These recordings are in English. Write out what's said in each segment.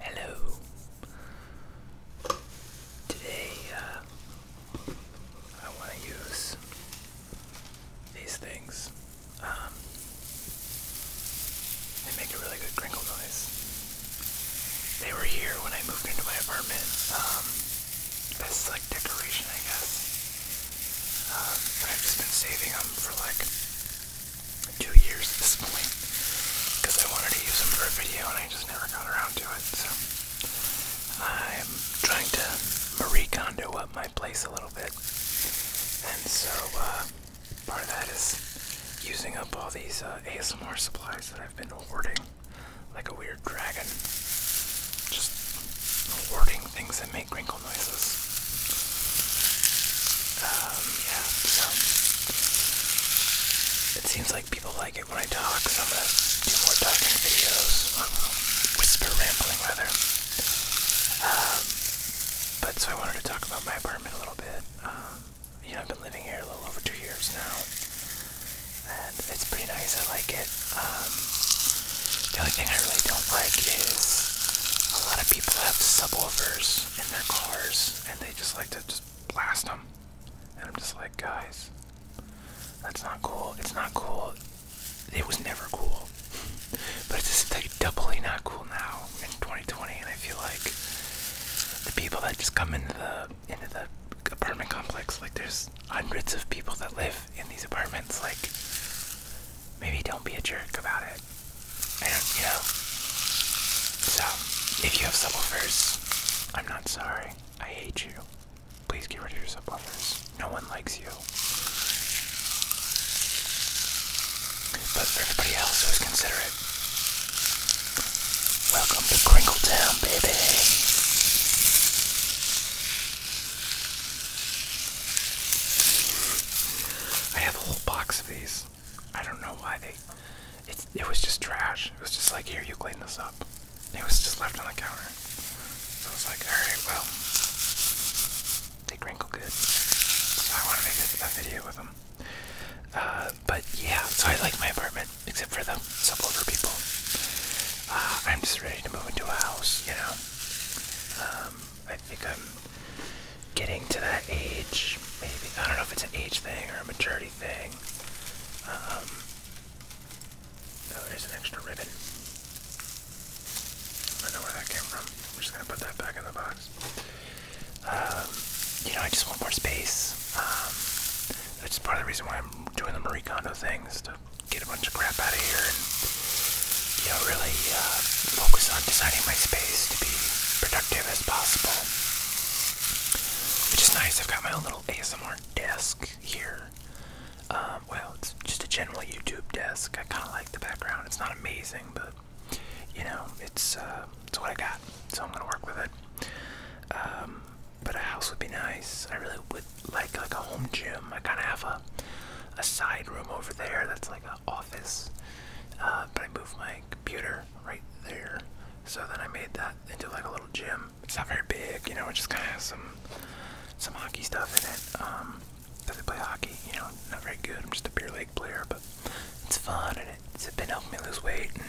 Hello. Today uh, I want to use these things. Um, they make a really good crinkle noise. They were here when I moved into my apartment. Um, like decoration, I guess. Um, I've just been saving them for like two years at this point because I wanted to use them for a video and I just never got around to it. So I'm trying to Marie Kondo up my place a little bit, and so uh, part of that is using up all these uh, ASMR supplies that I've been hoarding like a weird dragon. Just hoarding things that make wrinkle noises. Um, yeah, so it seems like people like it when I talk, so I'm gonna do more talking videos, or um, whisper rambling rather. Um, but so I wanted to talk about my apartment a little bit. Um, I've been living here a little over two years now, and it's pretty nice. I like it. the only thing I really don't like is a lot of people have subwoofers in their cars and they just like to just blast them. And I'm just like, guys, that's not cool. It's not cool. It was never cool. But it's just like doubly not cool now in 2020. And I feel like the people that just come into the into the apartment complex, like there's hundreds of people that live in these apartments. Like maybe don't be a jerk about it. I don't, you know. So, if you have subwoofers, I'm not sorry. I hate you. Please get rid of your subwoofers. No one likes you. But for everybody else who is considerate, welcome to Crinkle Town, baby. I have a whole box of these. I don't know why they. It, it was just trash. It was just like, here, you clean this up. It was just left on the counter. So I was like, alright, well, they crinkle good. So I want to make a, video with them. Uh, but yeah, so I like my apartment, except for the subwoofer people. Uh, I'm just ready to move into a house, you know. Um, I think I'm getting to that age. Maybe I don't know if it's an age thing or a maturity thing. oh, there's an extra ribbon. I know where that came from. I'm just gonna put that back in the box. Um, you know, I just want more space. Um, that's part of the reason why I'm doing the Marie Kondo things to get a bunch of crap out of here you really uh, focus on designing my space to be productive as possible. Which is nice. I've got my own little ASMR desk here. Um, well, it's just a general YouTube desk. I kind of like the background. It's not amazing, but you know, it's uh, it's what I got, so I'm gonna work with it. Um, but a house would be nice. I really would like like a home gym. I kind of have a a side room over there that's like an office. Uh, but I moved my computer right there. So then I made that into like a little gym. It's not very big, you know, it just kind of has some, some hockey stuff in it. Um, does it play hockey? You know, not very good. I'm just a beer league player, but it's fun and it's been helping me lose weight and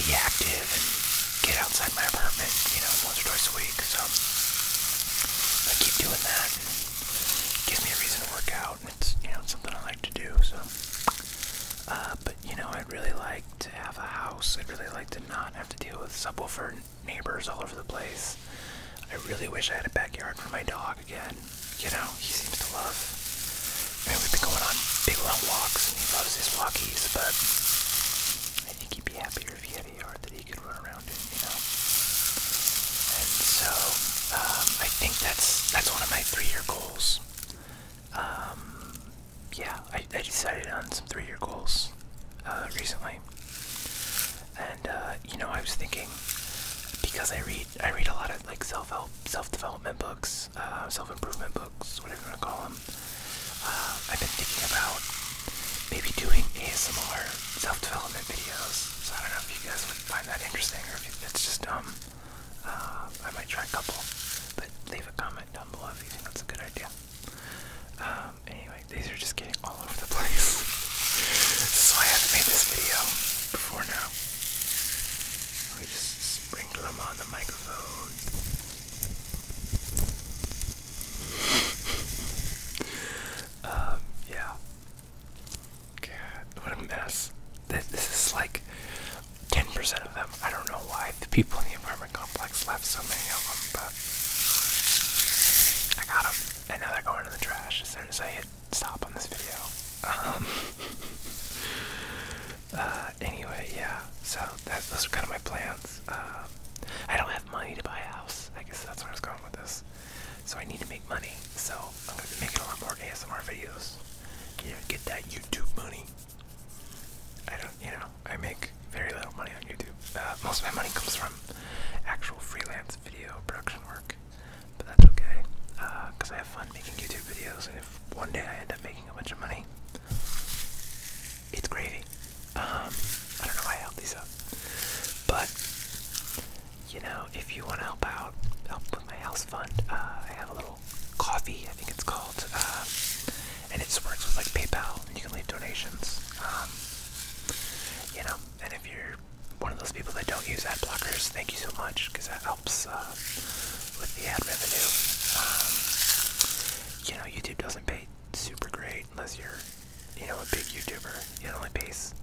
be active and get outside my apartment, you know, once or twice a week. So I keep doing that that. Gives me a reason to work out, and it's you know something I like to do. So, uh, but you know, I'd really like to have a house. I'd really like to not have to deal with subwoofer neighbors all over the place. I really wish I had a backyard for my dog again. You know, he seems to love. I mean, we've been going on big long walks, and he loves his walkies, but I think he'd be happier if he city yard that he could run around in, you know. And so um, I think that's that's one of my three-year goals. Um, yeah, I, I decided on some three-year goals uh, recently, and uh, you know I was thinking because I read I read a lot of like self-help, self-development books, uh, self-improvement books, whatever you want to call them. Uh, I've been thinking about maybe doing ASMR self-development videos. So I don't know if you guys would find that interesting or if it's just dumb. Uh, I might try a couple, but leave a comment down below if you think that's a good idea. Um, anyway, these are just getting all over the place. so I have to make this video before now. We just sprinkle them on the microphone. Um, yeah. God, what a mess. This, this is like 10% of them. I don't know why the people in the apartment complex left so many of them, but I got them. And now they're going in the trash as soon as I hit stop on this video. Um, uh, anyway, yeah. So that, those are kind of my plans. Uh, I don't have money to buy a house. I guess that's where I was going with this. So I need to make money. So I'm gonna be making a lot more ASMR videos. You know, get that YouTube money. I don't, you know, I make very little money on YouTube. Uh, most of my money comes from actual freelance video production work, but that's okay because uh, I have fun making YouTube videos. And if one day I end up making a bunch of money, it's gravy. Um, I don't know why I help these up, but you know, if you want to help out, help with my house fund, uh, I have a little coffee. I think it's called, uh, and it works with like PayPal, and you can leave donations. Um, you know, and if you're one of those people that don't use ad blockers, thank you so much because that helps uh, with the ad revenue. Um, you know, YouTube doesn't pay super great unless you're, you know, a big YouTuber. You only pays,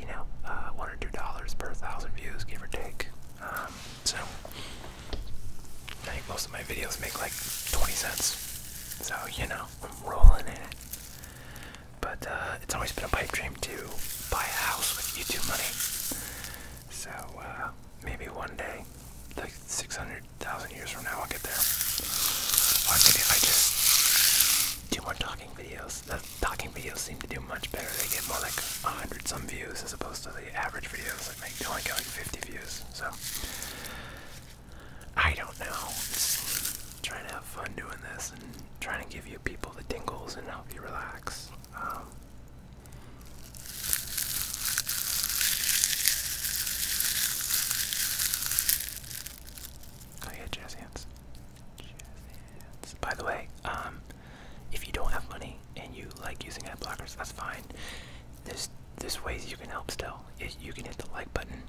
you know, uh, one or two dollars per thousand views, give or take. Um, so I think most of my videos make like 20 cents. So, you know, I'm rolling in it. But uh, it's always been a pipe dream to buy a house with YouTube money. So uh, maybe one day like 600,000 years from now I'll get there. I just do more talking videos. The talking videos seem to do much better. They get more like 100 some views as opposed to the average videos that make only get like 50 views. So I don't know. trying to have fun doing this and trying to give you people the tingles and help you relax. Um, Oh yeah, jazz hands. Jazz hands. By the way, um, if you don't have money and you like using ad blockers, that's fine. There's there's ways you can help still. You can hit the like button,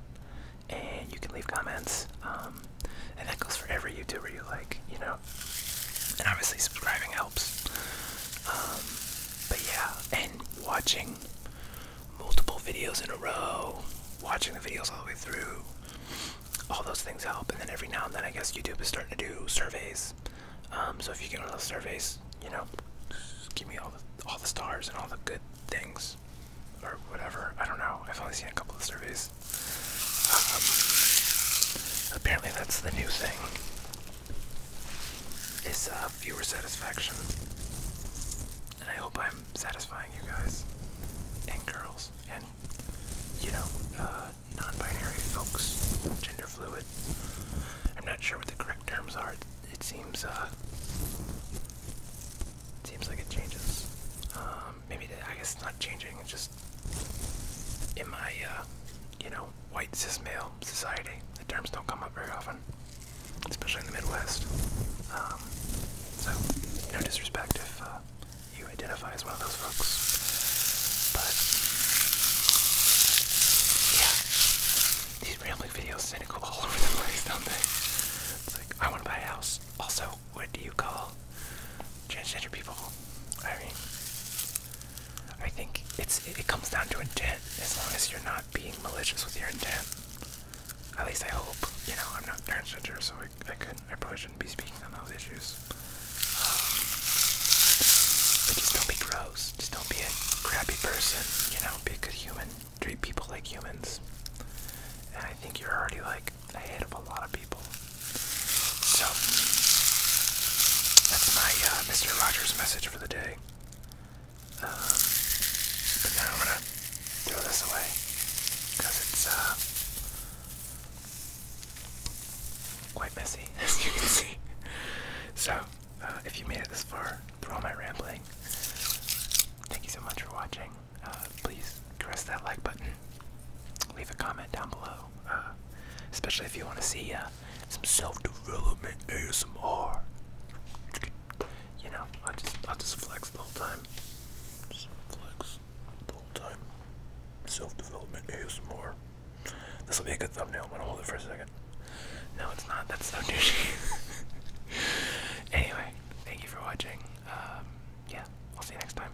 and you can leave comments. Um, and that goes for every YouTuber you like, you know. And obviously subscribing helps. Um, but yeah, and watching multiple videos in a row, watching the videos all the way through, all those things help. And then every now and then, I guess YouTube is starting to do surveys. Um, so if you get one of those surveys, you know, give me all the all the stars and all the good things, or whatever. I don't know. I've only seen a couple of surveys. Um, apparently, that's the new thing. It's a uh, viewer satisfaction. And I hope I'm satisfying you guys and girls and, you know, uh, non binary folks, gender fluid. I'm not sure what the correct terms are. It seems, uh, it seems like it changes. Um, maybe, I guess it's not changing, it's just in my, uh, you know, white cis male society. The terms don't come up very often, especially in the Midwest. Um, so, no disrespect if uh, you identify as one of those folks. But, yeah, these rambling videos cynical all over the place, don't they? It's like, I want to buy a house. Also, what do you call transgender people? I mean, I think it's it, comes down to intent. As long as you're not being malicious with your intent, at least I hope. You know, I'm not transgender, so I I could I probably shouldn't be speaking on those issues. Um, but just don't be gross. Just don't be a crappy person. You know, be a good human. Treat people like humans. And I think you're already like ahead of a lot of people. So that's my uh, Mr. Rogers message for the day. Uh, but now I'm gonna throw this away because it's uh, quite messy, as you can see. So if you made it this far through all my rambling, thank you so much for watching. please press that like button. Leave a comment down below. Uh, especially if you want to see uh, some self-development ASMR. You know, I just I just flex the whole time. Just flex the whole time. Self-development ASMR. This will be a good thumbnail. I'm gonna hold it for a second. No, it's not. That's so douchey. anyway, thank you for watching. Um, yeah, I'll see you next time.